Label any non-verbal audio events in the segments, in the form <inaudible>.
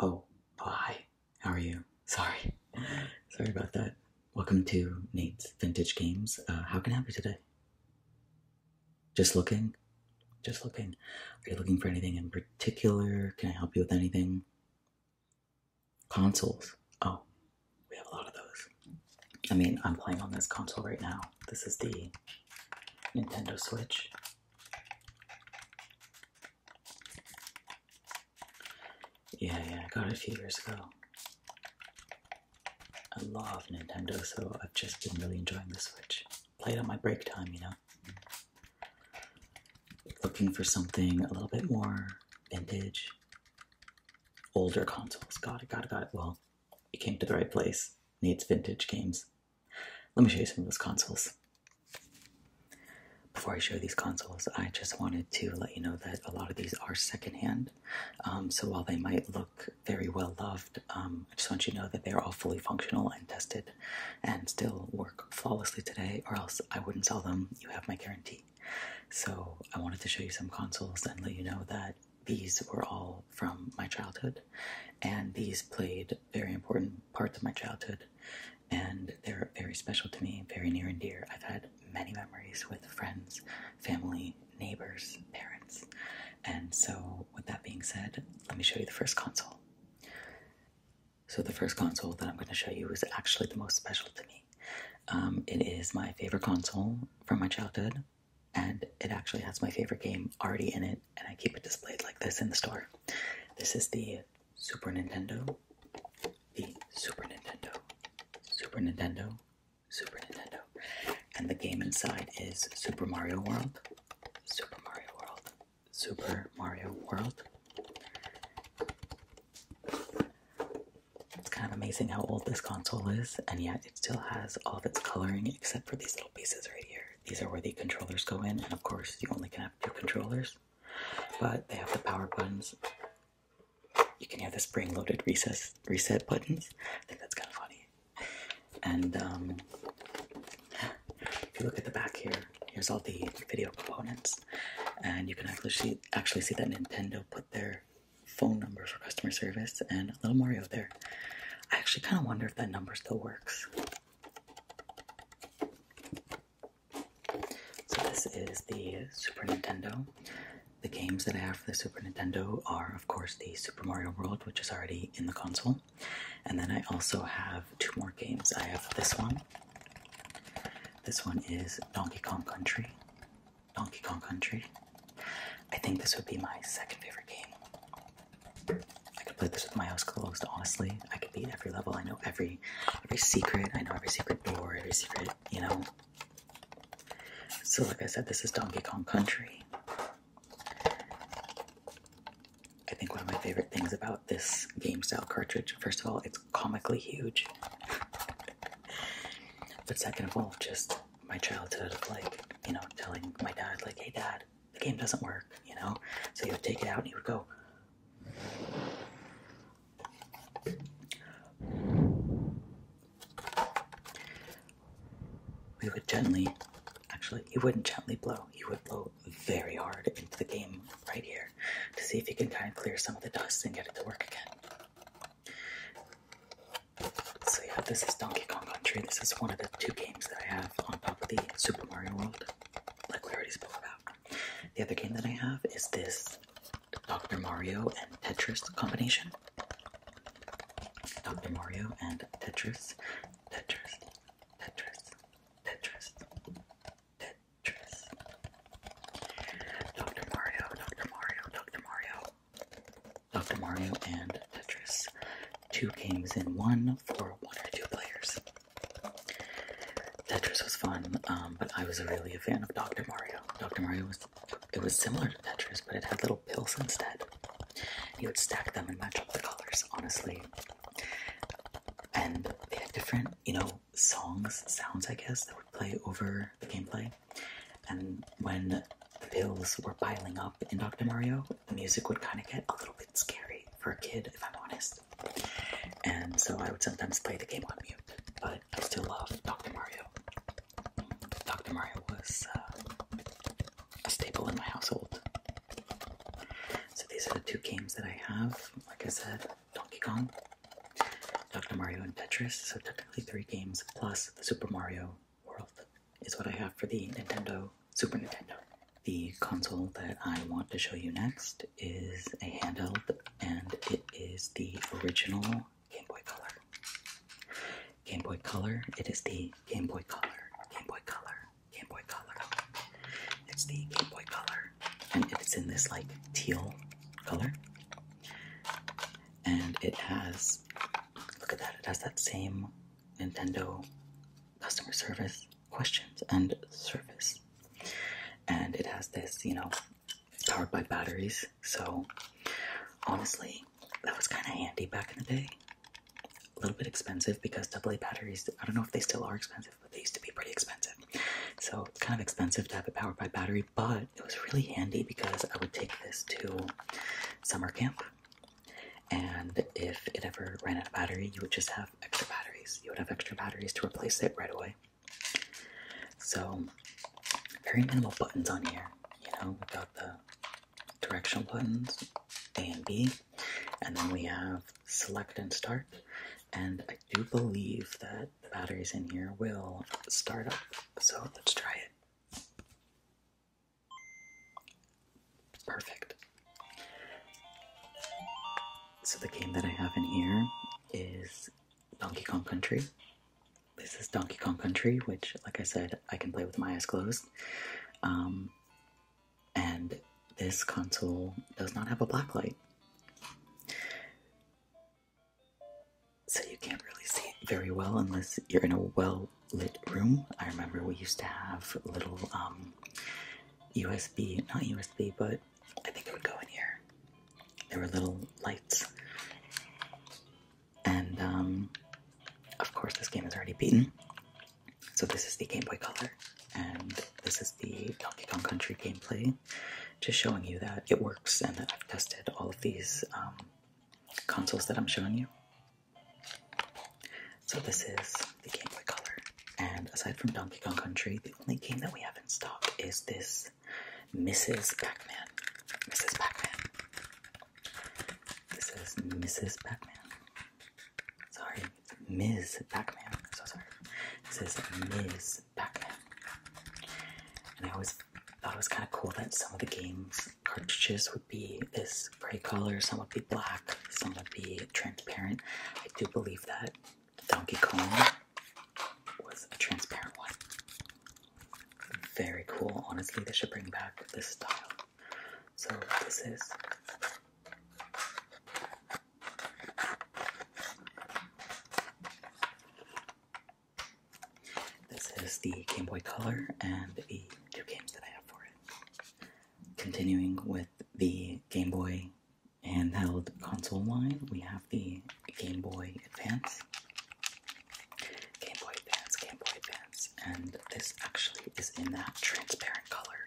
Oh, hi. How are you? Sorry. Sorry about that. Welcome to Nate's Vintage Games. Uh, how can I help you today? Just looking? Just looking. Are you looking for anything in particular? Can I help you with anything? Consoles. Oh, we have a lot of those. I mean, I'm playing on this console right now. This is the Nintendo Switch. Yeah, yeah, I got it a few years ago. I love Nintendo, so I've just been really enjoying the Switch. Played on my break time, you know? Looking for something a little bit more vintage. Older consoles. Got it, got it, got it. Well, you came to the right place. Needs vintage games. Let me show you some of those consoles. Before I show these consoles, I just wanted to let you know that a lot of these are secondhand. Um, so while they might look very well loved, um, I just want you to know that they're all fully functional and tested and still work flawlessly today, or else I wouldn't sell them. You have my guarantee. So I wanted to show you some consoles and let you know that these were all from my childhood, and these played very important parts of my childhood, and they're very special to me, very near and dear. I've had many memories with friends, family, neighbors, parents, and so with that being said, let me show you the first console. So the first console that I'm going to show you is actually the most special to me. Um, it is my favorite console from my childhood and it actually has my favorite game already in it, and I keep it displayed like this in the store. This is the Super Nintendo, the Super Nintendo, Super Nintendo, Super Nintendo, and the game inside is Super Mario World, Super Mario World, Super Mario World. It's kind of amazing how old this console is, and yet it still has all of its coloring except for these little pieces right here. These are where the controllers go in, and of course, you only can have two controllers, but they have the power buttons. You can have the spring loaded recess, reset buttons. I think that's kind of funny. And um, if you look at the back here, here's all the video components, and you can actually see, actually see that Nintendo put their phone number for customer service and a little Mario there. I actually kind of wonder if that number still works. So, this is the Super Nintendo. The games that I have for the Super Nintendo are, of course, the Super Mario World, which is already in the console. And then I also have two more games. I have this one. This one is Donkey Kong Country. Donkey Kong Country. I think this would be my second favorite game. I could play this with my eyes closed, honestly. I could beat every level. I know every every secret. I know every secret door, every secret, you know. So like I said, this is Donkey Kong Country. I think one of my favorite things about this game style cartridge, first of all, it's comically huge. <laughs> but second of all, just my childhood of like, you know, telling my dad, like, hey dad, the game doesn't work, you know? So he would take it out and he would go. We would gently, actually, he wouldn't gently blow. He would blow very hard into the game right here to see if he can kind of clear some of the dust and get it to work again. So yeah, this is Donkey Kong Country. This is one of the two games that I have on top of the Super Mario World, like we already spoke about. The other game that I have is this Dr. Mario and Tetris combination. Dr. Mario and Tetris, Tetris, Tetris, Tetris, Tetris. Dr. Mario, Dr. Mario, Dr. Mario, Dr. Mario and Tetris. Two games in one for one or two players. Tetris was fun, um, but I was really a fan of Dr. Mario. Dr. Mario was it was similar to Tetris, but it had little pills instead. You would stack them and match up the colors, honestly. And they had different, you know, songs, sounds I guess, that would play over the gameplay. And when the pills were piling up in Dr. Mario, the music would kind of get a little bit scary for a kid, if I'm honest. And so I would sometimes play the game on mute, but I still love Dr. Mario. Dr. Mario was uh, a staple in my household. So these are the two games that I have. Like I said, Donkey Kong, Dr. Mario, and Tetris. So technically three games plus the Super Mario world is what I have for the Nintendo Super Nintendo. The console that I want to show you next is a handheld, and it is the original Game Boy Color. Game Boy Color, it is the Game Boy Color, Game Boy Color, Game Boy Color. It's the Game Boy Color, and it's in this like teal color. And it has look at that, it has that same Nintendo customer service questions and service. And it has this, you know, powered by batteries. So honestly, that was kind of handy back in the day. A little bit expensive because AA batteries, I don't know if they still are expensive, but they used to be pretty expensive. So it's kind of expensive to have it powered by battery, but it was really handy because I would take this to summer camp and if it ever ran out of battery, you would just have extra batteries. You would have extra batteries to replace it right away. So, very minimal buttons on here, you know, we've got the directional buttons, A and B. And then we have select and start. And I do believe that the batteries in here will start up. So, let's try it. Perfect. So the game that I have in here is Donkey Kong Country. This is Donkey Kong Country, which, like I said, I can play with my eyes closed. Um, and this console does not have a black light so you can't really see it very well unless you're in a well lit room. I remember we used to have little USB, um, not USB, but I think it would go in here. There were little lights. And um, of course, this game is already beaten. So, this is the Game Boy Color, and this is the Donkey Kong Country gameplay. Just showing you that it works and that I've tested all of these um, consoles that I'm showing you. So this is the Game Boy Color, and aside from Donkey Kong Country, the only game that we have in stock is this Mrs. Pac-Man. Mrs. Pac-Man. This is Mrs. Pac-Man. Sorry, Ms. Pac-Man. so sorry. This is Ms. Pac-Man. And I always thought it was kind of cool that some of the games cartridges would be this gray color, some would be black, some would be transparent. I do believe that Donkey Kong was a transparent one. Very cool, honestly, they should bring back this style. So, this is. This is the Game Boy Color and the two games that I have for it. Continuing with the Game Boy handheld console line, we have the Game Boy Advance. Game Boy Advance, Game Boy Advance, and this actually is in that transparent color,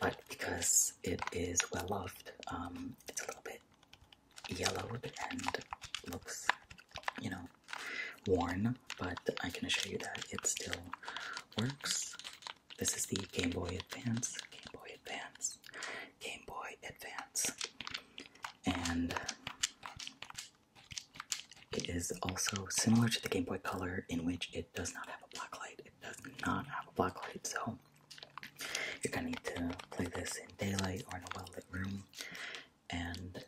but because it is well loved, um, it's a little bit yellowed and looks, you know, worn, but I can assure you that it still works. This is the Game Boy Advance, Game Boy Advance, Game Boy Advance, and it is also similar to the Game Boy Color in which it does not have a black light. It does not have a black light, so you're gonna need to play this in daylight or in a well lit room and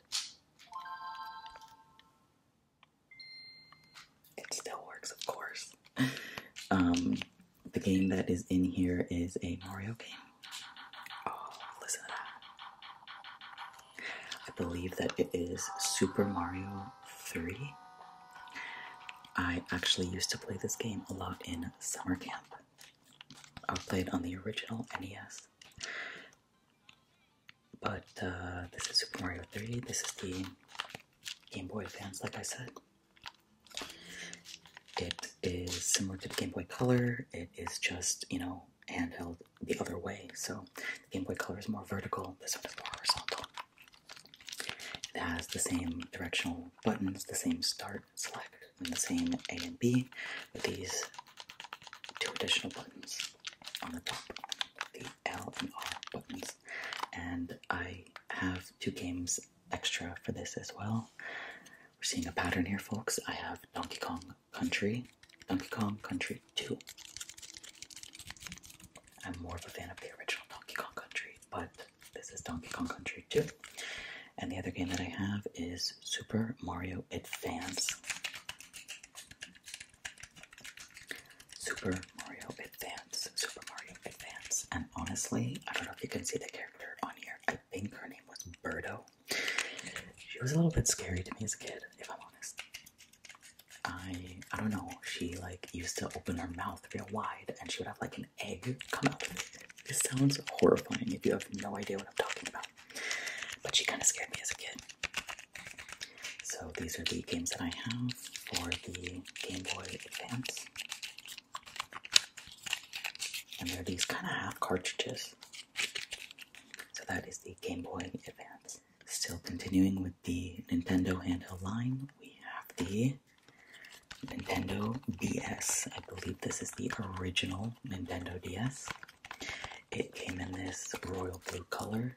it still works, of course. Um, the game that is in here is a Mario game. Oh, listen I believe that it is Super Mario 3. I actually used to play this game a lot in summer camp. I played on the original NES. But uh, this is Super Mario 3. This is the Game Boy Advance, like I said. It is similar to the Game Boy Color. It is just, you know, handheld the other way. So the Game Boy Color is more vertical, this one is more horizontal. It has the same directional buttons, the same start, select, and the same A and B, with these two additional buttons on the top, the L and R buttons. And I have two games extra for this as well. We're seeing a pattern here, folks. I have Donkey Kong Country, Donkey Kong Country 2. I'm more of a fan of the original Donkey Kong Country, but this is Donkey Kong Country 2. And the other game that I have is Super Mario Advance. Super Mario Advance, Super Mario Advance, and honestly, I don't know if you can see the character on here. I think her name was Birdo. She was a little bit scary to me as a kid, if I'm honest. I I don't know. She like used to open her mouth real wide, and she would have like an egg come out of it. This sounds horrifying if you have no idea what I'm talking about. But she kind of scared me as a kid. So these are the games that I have for the Game Boy Advance. And they're these kind of half cartridges. So that is the Game Boy Advance. Still continuing with the Nintendo handheld line, we have the Nintendo DS. I believe this is the original Nintendo DS. It came in this royal blue color.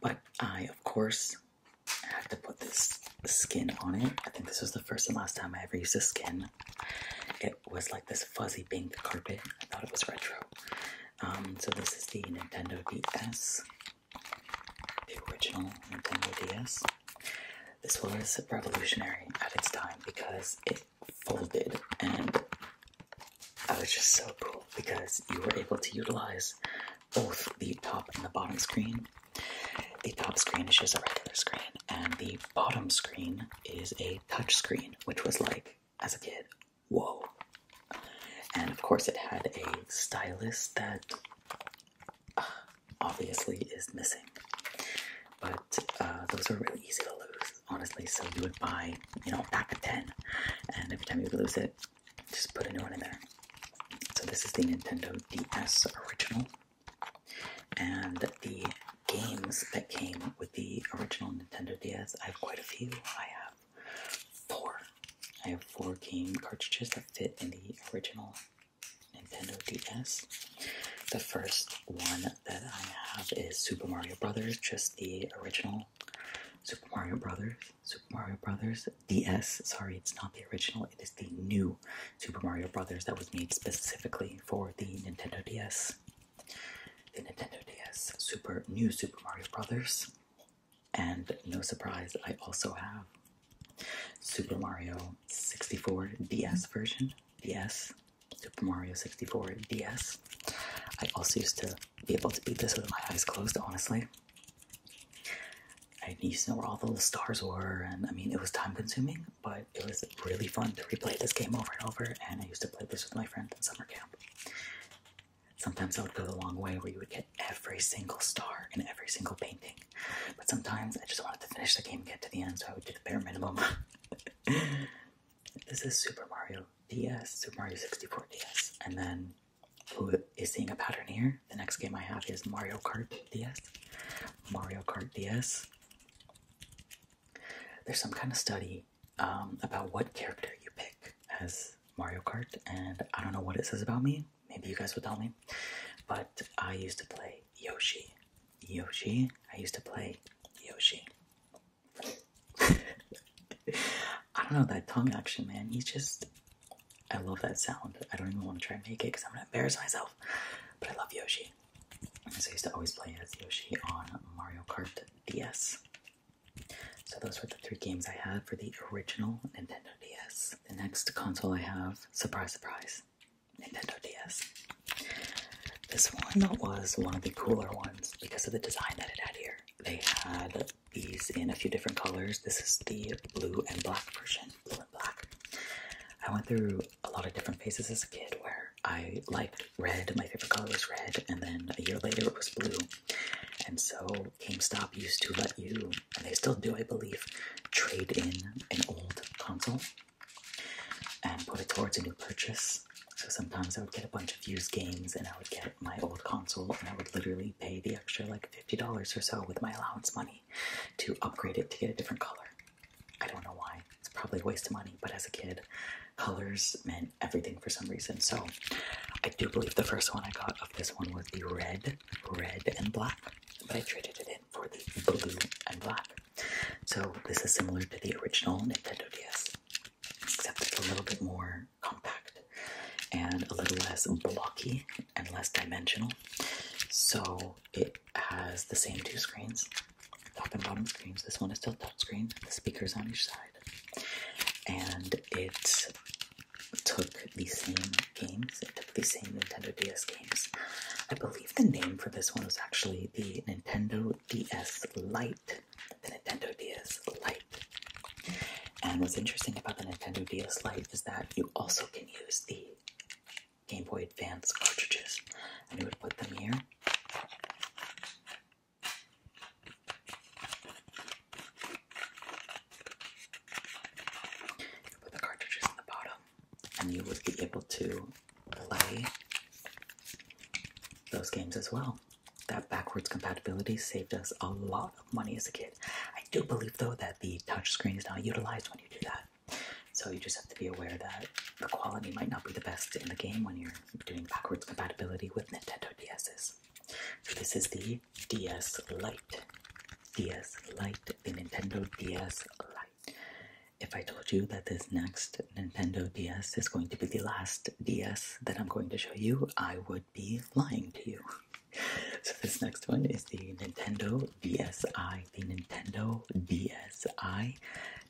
But I, of course, had to put this skin on it. I think this was the first and last time I ever used a skin. It was like this fuzzy pink carpet. I thought it was retro. Um, so this is the Nintendo DS. The original Nintendo DS. This was revolutionary at its time because it folded and that was just so cool because you were able to utilize both the top and the bottom screen. The top screen is just a regular screen, and the bottom screen is a touch screen, which was like, as a kid, whoa. And of course, it had a stylus that uh, obviously is missing, but uh, those are really easy to lose honestly. So you would buy, you know, a pack of 10, and every time you would lose it, just put a new one in there. So this is the Nintendo DS original, and the games that came with the original Nintendo DS, I have quite a few. I have four. I have four game cartridges that fit in the original Nintendo DS. The first one that I have is Super Mario Brothers, just the original Super Mario Brothers. Super Mario Brothers DS. Sorry, it's not the original. It is the new Super Mario Brothers that was made specifically for the Nintendo DS. The Nintendo DS Super New Super Mario Brothers. And no surprise, I also have Super Mario 64 DS version. DS Super Mario 64 DS. I also used to be able to beat this with my eyes closed, honestly. I used to know where all the stars were, and I mean, it was time consuming, but it was really fun to replay this game over and over, and I used to play this with my friend in summer camp. Sometimes I would go the long way where you would get every single star in every single painting, but sometimes I just wanted to finish the game and get to the end, so I would do the bare minimum. <laughs> This is Super Mario DS, Super Mario 64 DS. And then who is seeing a pattern here? The next game I have is Mario Kart DS. Mario Kart DS. There's some kind of study um, about what character you pick as Mario Kart, and I don't know what it says about me. Maybe you guys will tell me. But I used to play Yoshi. Yoshi. I used to play Yoshi. I don't know that tongue action, man. He's just. I love that sound. I don't even want to try and make it because I'm gonna embarrass myself. But I love Yoshi. So I used to always play as Yoshi on Mario Kart DS. So those were the three games I had for the original Nintendo DS. The next console I have, surprise, surprise, Nintendo DS. This one was one of the cooler ones because of the design that it had here. They had these in a few different colors. This is the blue and black version. Blue and black. I went through a lot of different phases as a kid where I liked red. My favorite color was red, and then a year later it was blue. And so GameStop used to let you, and they still do, I believe, trade in an old console and put it towards a new purchase. So sometimes I would get a bunch of used games and I would get my old console and I would literally pay the extra like $50 or so with my allowance money to upgrade it to get a different color. I don't know why. It's probably a waste of money, but as a kid, colors meant everything for some reason. So I do believe the first one I got of this one was the red, red and black, but I traded it in for the blue and black. So this is similar to the original Nintendo DS except it's a little bit more compact and a little less blocky and less dimensional. So it has the same two screens, top and bottom screens. This one is still top screen, the speakers on each side. And it took the same games, it took the same Nintendo DS games. I believe the name for this one was actually the Nintendo DS Lite the Nintendo DS Lite. And what's interesting about the Nintendo DS Lite is that you also can use the Game Boy Advance cartridges. And you would put them here. You put the cartridges in the bottom, and you would be able to play those games as well that backwards compatibility saved us a lot of money as a kid. I do believe though that the touch screen is not utilized when you do that. So you just have to be aware that the quality might not be the best in the game when you're doing backwards compatibility with Nintendo DS's. this is the DS Lite. DS Lite, the Nintendo DS Lite. If I told you that this next Nintendo DS is going to be the last DS that I'm going to show you, I would be lying to you. <laughs> so this next one is the Nintendo DSi, the Nintendo DSi,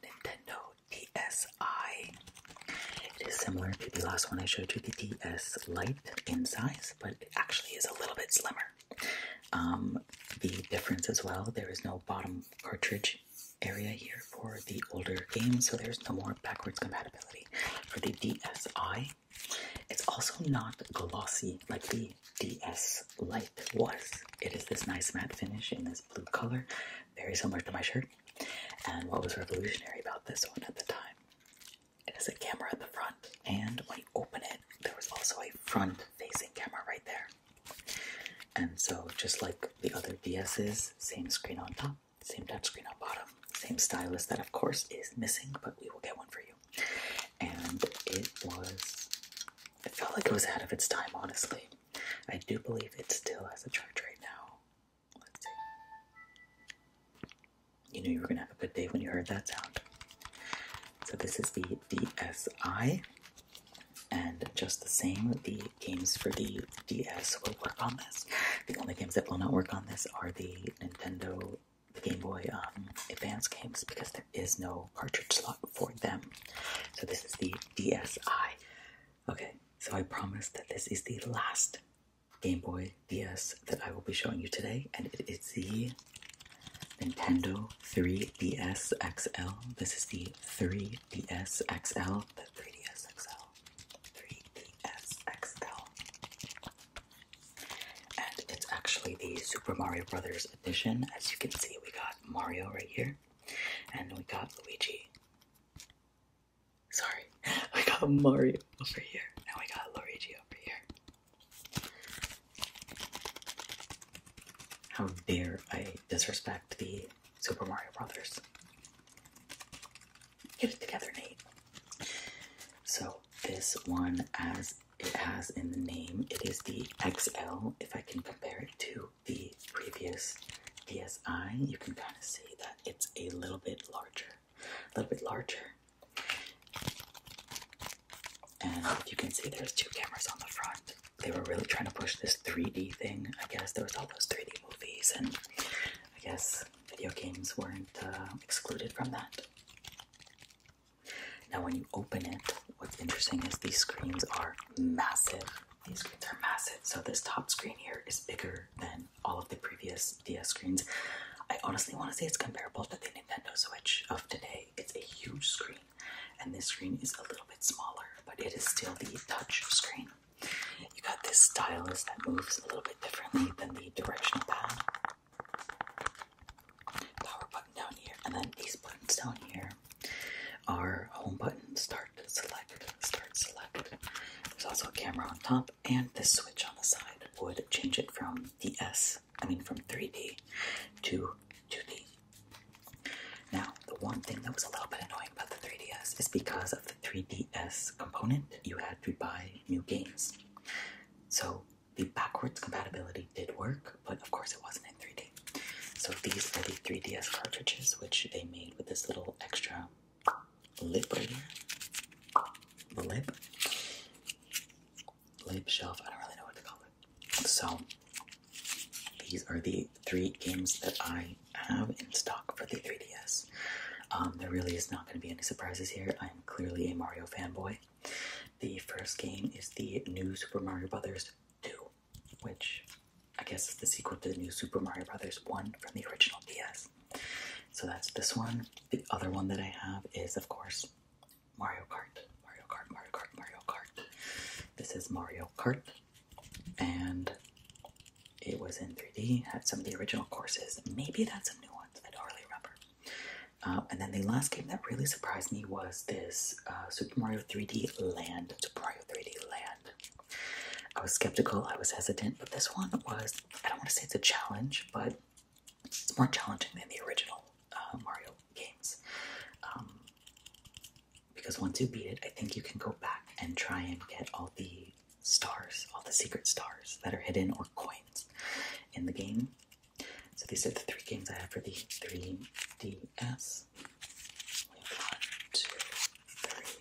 Nintendo DSi. It is similar to the last one I showed you, the DS Lite in size, but it actually is a little bit slimmer. Um, the difference as well, there is no bottom cartridge area here for the older games, so there's no more backwards compatibility for the DSi. It's also not glossy like the DS Lite was. It is this nice matte finish in this blue color, very similar to my shirt. And what was revolutionary about this one at the time? It has a camera at the front, and when you open it, there was also a front-facing camera right there. And so, just like the other DS's, same screen on top, bottom, same touchscreen on bottom, same stylus that of course is missing, but we will get one for you. And it was, it felt like it was out of its time, honestly. I do believe it still has a charge right now. Let's see. You knew you were gonna have a good day when you heard that sound. So this is the DSi, and just the same, the games for the DS will work on this. The only games that will not work on this are the Nintendo, the Game Boy um, Advance games because there is no cartridge slot for them. So this is the DSi. Okay, so I promise that this is the last Game Boy DS that I will be showing you today, and it is the Nintendo 3DS XL. This is the 3DS XL, the 3DS XL. 3DSXL. And it's actually the Super Mario Brothers edition. As you can see, we got Mario right here, and we got Luigi. Sorry, <laughs> we got Mario over here, and we got Luigi over here. How dare I disrespect the Super Mario Brothers. Get it together, Nate. So this one, as it has in the name, it is the XL. If I can compare it to the previous DSi, you can kind of see that it's a little bit larger, a little bit larger. And you can see there's two cameras on the front. They were really trying to push this 3D thing. I guess there was all those 3D movies and I guess video games weren't uh, excluded from that. Now, when you open it, what's interesting is these screens are massive. These screens are massive. So, this top screen here is bigger than all of the previous DS screens. I honestly want to say it's comparable to the Nintendo Switch of today. It's a huge screen, and this screen is a little bit smaller, but it is still the touch screen. You got this stylus that moves a little bit differently than the directional pad. Power button down here, and then these buttons down here are home button, start, select, start, select. There's also a camera on top, and this switch on the side would change it from the S, I mean from 3D to 2D. Now, the one thing that was a little bit annoying about the 3DS is because of the 3DS component, you had to buy new games. So the backwards compatibility did work, but of course it wasn't in 3D. So these are the 3DS cartridges, which they made with this little extra lip right here. The lip. Lip shelf, I don't really know what to call it. So these are the three games that I have in stock for the 3DS. Um, there really is not going to be any surprises here. I'm clearly a Mario fanboy. The first game is the new Super Mario Brothers 2, which I guess is the sequel to the new Super Mario Brothers 1 from the original DS. So that's this one. The other one that I have is, of course, Mario Kart. Mario Kart, Mario Kart, Mario Kart. This is Mario Kart and it was in 3D, had some of the original courses. Maybe that's some new ones, I don't really remember. Uh, and then the last game that really surprised me was this uh, Super Mario 3D Land, Super Mario 3D Land. I was skeptical, I was hesitant, but this one was, I don't want to say it's a challenge, but it's more challenging than the original uh, Mario games. Um, because once you beat it, I think you can go back and try and get all the stars, all the secret stars that are hidden or coins in the game. So these are the three games I have for the 3DS. One, two, three.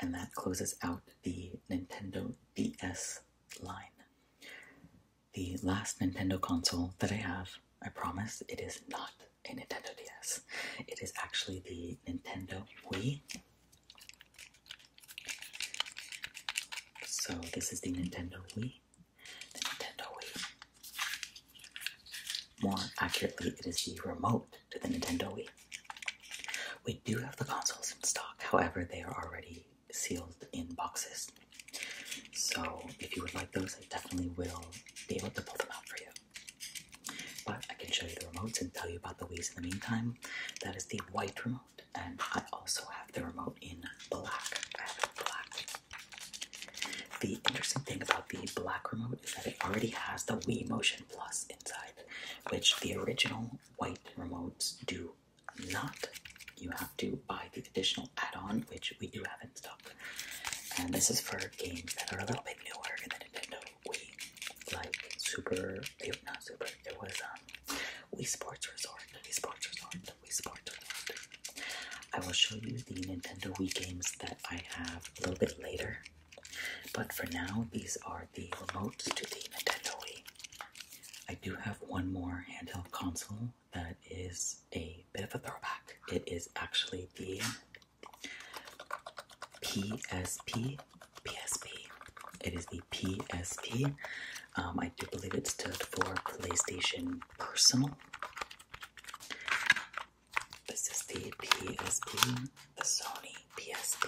And that closes out the Nintendo DS line the last Nintendo console that I have. I promise it is not a Nintendo DS. It is actually the Nintendo Wii. So this is the Nintendo Wii. The Nintendo Wii. More accurately, it is the remote to the Nintendo Wii. We do have the consoles in stock, however, they are already sealed in boxes. So if you would like those, I definitely will be able to pull them out for you. But I can show you the remotes and tell you about the Wii's in the meantime. That is the white remote, and I also have the remote in black. black. The interesting thing about the black remote is that it already has the Wii Motion Plus inside, which the original white remotes do not. You have to buy the additional add-on, which we do have in stock. And this is for games that are a little bit newer in the Nintendo Wii, like Super, eh, not Super, it was um, Wii Sports Resort, Wii Sports Resort, Wii Sports Resort. I will show you the Nintendo Wii games that I have a little bit later. But for now, these are the remotes to the Nintendo Wii. I do have one more handheld console that is a bit of a throwback. It is actually the PSP. PSP. It is the PSP. Um, I do believe it stood for PlayStation Personal. This is the PSP, the Sony PSP.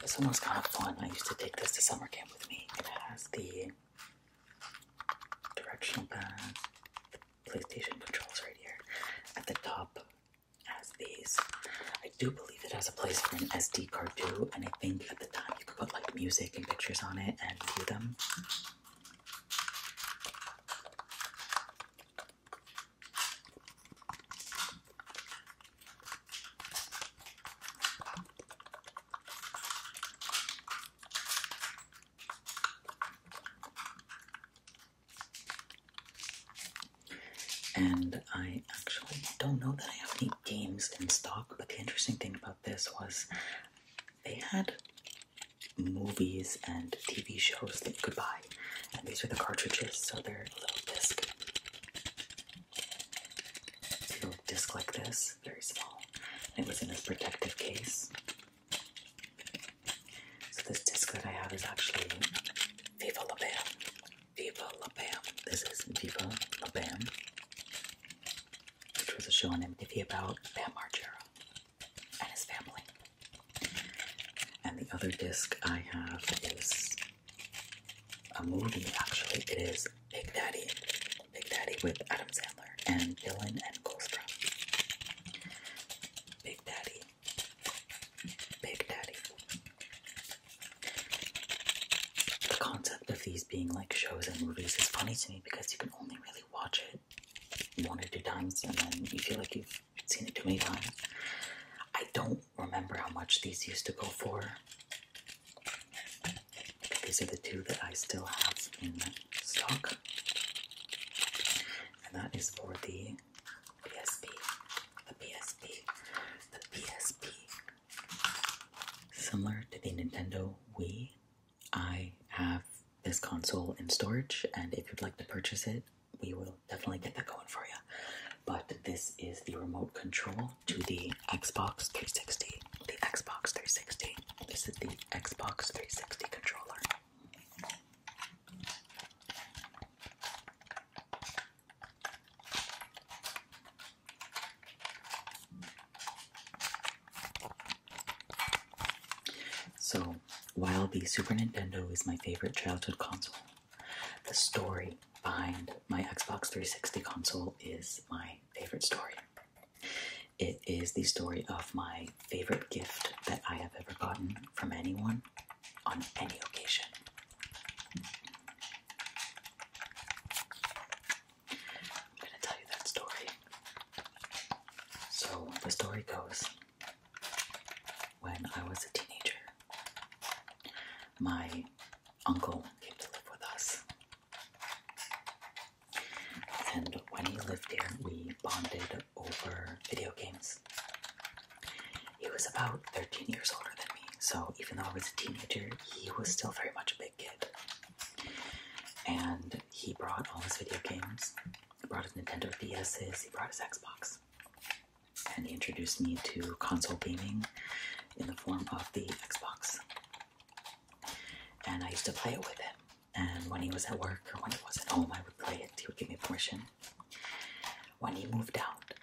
This one was kind of fun. I used to take this to summer camp with me. It has the directional pad, the PlayStation controls right here. At the top has these. I do believe it has a place for an SD card too, and I think at the time you could put like music and pictures on it and view them. And I actually don't know that I have any games in stock, but the interesting thing about this was they had movies and TV shows that you could buy. And these are the cartridges, so they're little discs. A little disc like this, very small. It was in a protective case. So this disc that I have is actually Viva La Bam. Viva La Bam. This is Viva La Bam, which was a show on MTV about Bam Margera and his family. And the other disc I have is a movie, actually. It is Big Daddy. Big Daddy with Adam Sandler and Dylan and Goldstra. Big Daddy. Big Daddy. The concept of these being like shows and movies is funny to me because you can only really watch it one or two times and then you feel like you've seen it too many times. I don't remember how much these used to go for. These are the two that I still have in stock. And that is for the PSP. The PSP. The PSP. Similar to the Nintendo Wii, I have this console in storage, and if you'd like to purchase it, we will definitely get that going for you. But this is the remote control to the Xbox 360. The Xbox 360. This is the Xbox 360 controller. So, while the Super Nintendo is my favorite childhood console, the story behind my Xbox 360 console is my favorite story. It is the story of my favorite gift that I have ever gotten from anyone on any occasion. I'm going to tell you that story. So, the story goes when I was a teenager, my uncle came to live with us. And when he lived here, we bonded over video games. He was about 13 years older than me, so even though I was a teenager, he was still very much a big kid. And he brought all his video games, he brought his Nintendo DS's, he brought his Xbox. And he introduced me to console gaming in the form of the Xbox. And I used to play it with him. And when he was at work or when he was at home, I would play it. He would give me a portion. When he moved out,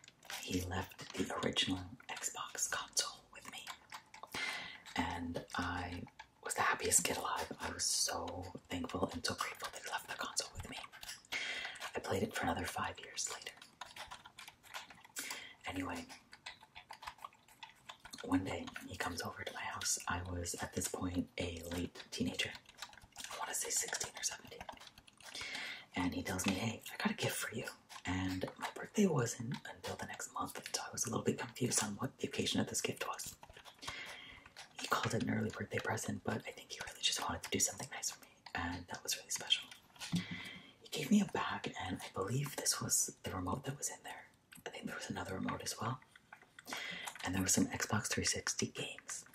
he left the original Xbox console with me. And I was the happiest kid alive. I was so thankful and so grateful that he left the console with me. I played it for another five years later. Anyway, one day he comes over to my house. I was at this point a late teenager. I want to say 16 or 17. And he tells me, Hey, I got a gift for you. And my birthday wasn't until the next month, so I was a little bit confused on what the occasion of this gift was. He called it an early birthday present, but I think he really just wanted to do something nice for me and that was really special. He gave me a bag, and I believe this was the remote that was in there. I think there was another remote as well, and there were some Xbox 360 games.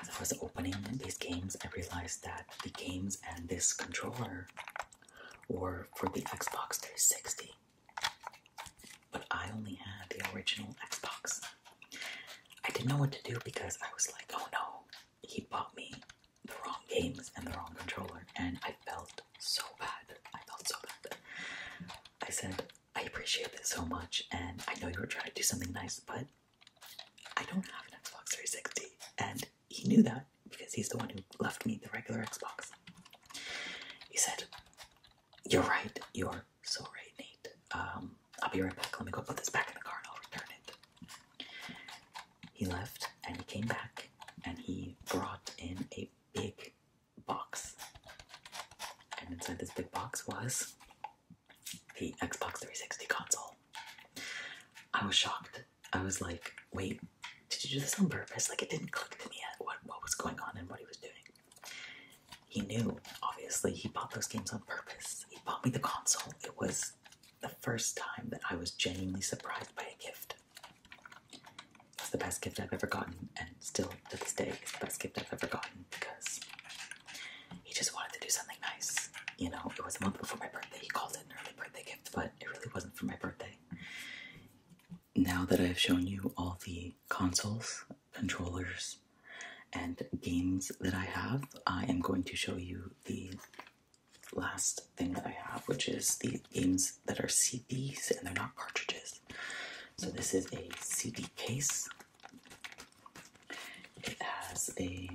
As I was opening these games, I realized that the games and this controller were for the Xbox 360, but I only had the original Xbox. I didn't know what to do because I was like, oh no, he bought me the wrong games and the wrong controller, and I felt so bad. I felt so bad. I said, I appreciate this so much, and I know you were trying to do something nice, but I don't have an Xbox 360. And he knew that because he's the one who left me the regular Xbox. He said, You're right, you're so right, Nate. Um, I'll be right back. Let me go put this back in the car and I'll return it he left and he came back and he brought in a big box. And inside this big box was the Xbox 360 console. I was shocked. I was like, wait, did you do this on purpose? Like, it didn't click to me yet what, what was going on and what he was doing. He knew, obviously, he bought those games on purpose. He bought me the console. It was the first time that I was genuinely surprised by a gift. It's the best gift I've ever gotten, and still to this day, it's the best gift I've ever gotten because he just wanted to do something nice. You know, it was a month before my birthday. He called it an early birthday gift, but it really wasn't for my birthday. Now that I've shown you all the consoles, controllers, and games that I have, I am going to show you the last thing that I have, which is the games that are CDs and they're not cartridges. So this is a CD case. It has a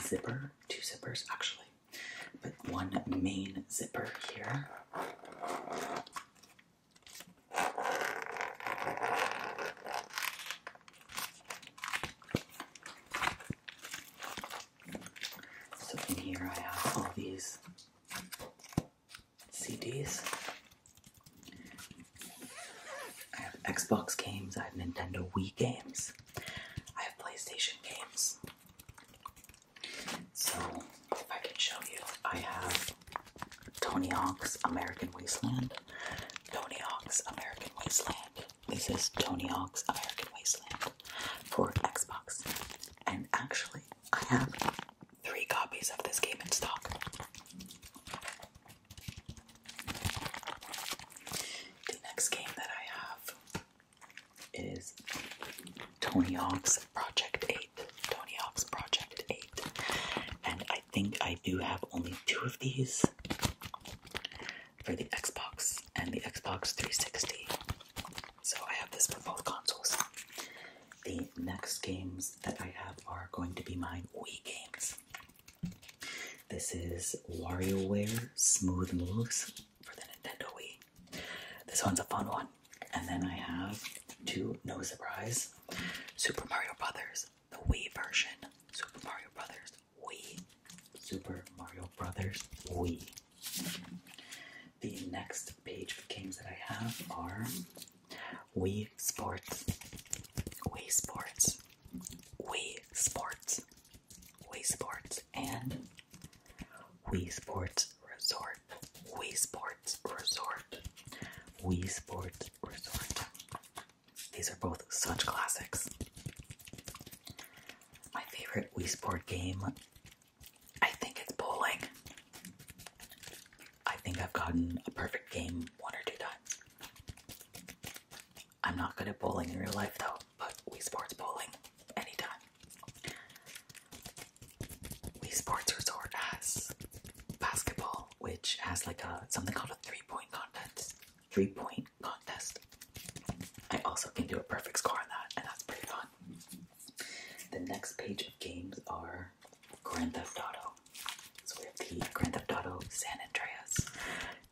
zipper, two zippers actually, but one main zipper here. So in here I have all these CDs. I have Xbox games, I have Nintendo Wii games, I have PlayStation games. So, if I can show you, I have Tony Hawk's American Wasteland, Tony Hawk's American Wasteland, this is Tony Hawk's American Wasteland for Xbox. And actually, I have three copies of this game in stock. The next game that I have is Tony Hawk's Project 8. Tony Hawk's Project 8. And I think I do have only two of these for the Xbox and the Xbox 360. So I have this for both consoles. The next games that I have are going to be my Wii games. This is WarioWare Smooth Moves for the Nintendo Wii. This one's a fun one. And then I have, two. no surprise, Super Mario Brothers, the Wii version. Super Mario Brothers Wii. Super Mario Brothers Wii. The next page of games that I have are Wii Sports, Wii Sports, Wii Sports, Wii Sports, and Wii Sports Resort, Wii Sports Resort, Wii Sports Resort. These are both such classics. My favorite Wii Sport game, I think it's bowling. I think I've gotten a perfect game one or two times. I'm not good at bowling in real life though, but Wii Sports bowling anytime. Wii Sports Resort has basketball, which has like a something called a three-point contest three point contest. I also can do a perfect score on that, and that's pretty fun. The next page of games are Grand Theft Auto. So we have the Grand Theft Auto San Andreas,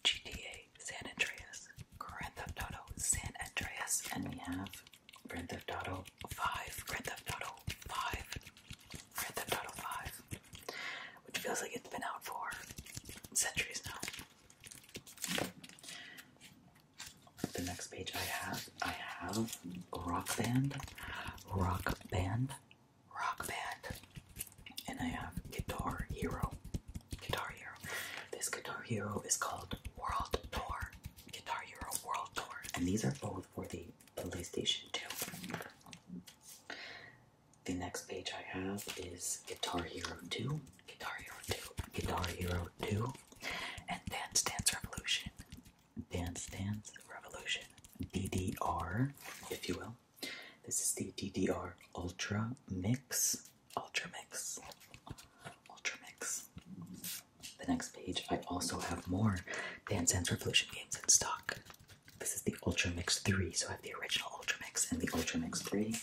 GTA San Andreas, Grand Theft Auto San Andreas, and we have Grand Theft Auto 5, Grand Theft Auto 5, Grand Theft Auto 5, which feels like it's been out for centuries now. The next page I have, I have Rock Band, Rock Band, Rock Band, and I have Guitar Hero, Guitar Hero. This Guitar Hero is called World Tour, Guitar Hero World Tour, and these are both for the PlayStation 2. The next page I have is Guitar Hero 2, Guitar Hero 2, Guitar Hero 2, and Dance Dance Revolution. Dance Dance Revolution, DDR, if you will. This is the DDR Ultra Mix. Ultra Mix. Ultra Mix. The next page, I also have more Dance Dance Revolution games in stock. This is the Ultra Mix 3, so I have the original Ultra Mix and the Ultra Mix 3.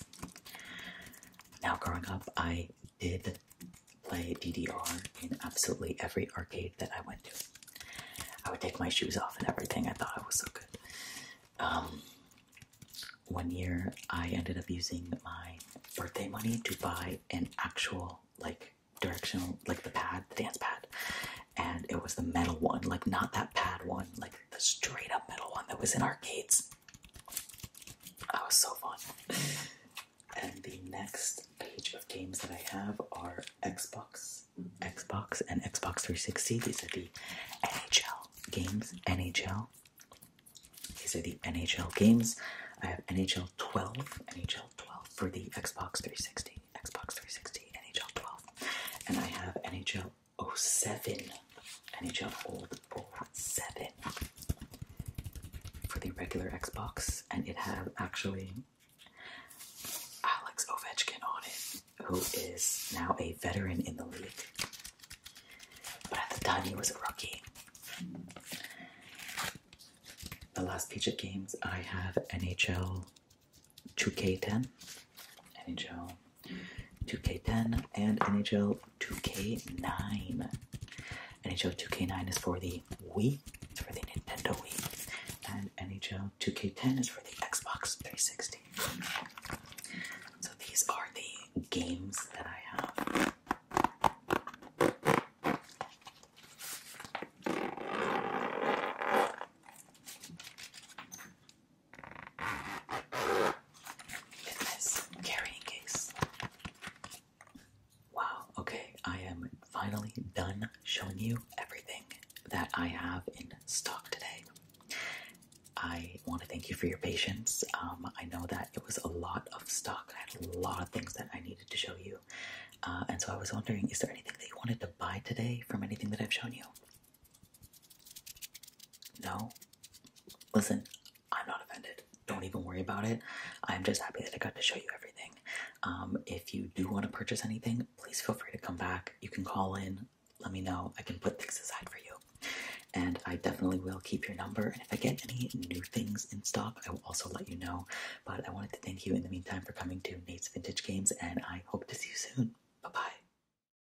Now, growing up, I did play DDR in absolutely every arcade that I went to. I would take my shoes off and everything. I thought it was so good. Um, one year, I ended up using my birthday money to buy an actual, like, directional, like the pad, the dance pad. And it was the metal one, like, not that pad one, like the straight up metal one that was in arcades. That was so fun. <laughs> and the next page of games that I have are Xbox, Xbox, and Xbox 360. These are the NHL games. NHL. These are the NHL games. I have NHL 12, NHL 12 for the Xbox 360, Xbox 360, NHL 12. And I have NHL 07 NHL Old Ball 7 for the regular Xbox, and it had actually Alex Ovechkin on it, who is now a veteran in the league. But at the time, he was a rookie. The last PJ games I have NHL 2K10 NHL 2K10 and NHL 2K9. NHL 2K9 is for the Wii, for the Nintendo Wii, and NHL 2K10 is for the Xbox 360. So these are the games that I have. Goodness, carrying case. Wow, okay, I am finally done showing you everything that I have in stock today. I want to thank you for your patience. Um, I know that it was a lot of stock. I had a lot of things that I needed to show you. Uh, and so I was wondering, is there anything that you wanted to buy today from anything that I've shown you? No? Listen, I'm not offended. Don't even worry about it. I'm just happy that I got to show you everything. Um, if you do want to purchase anything, please feel free to come back. You can call in, let me know. I can put things aside for you. And I definitely will keep your number. And if I get any new things in stock, I will also let you know. But I wanted to thank you in the meantime for coming to Nate's Vintage Games, and I hope to see you soon. Bye bye.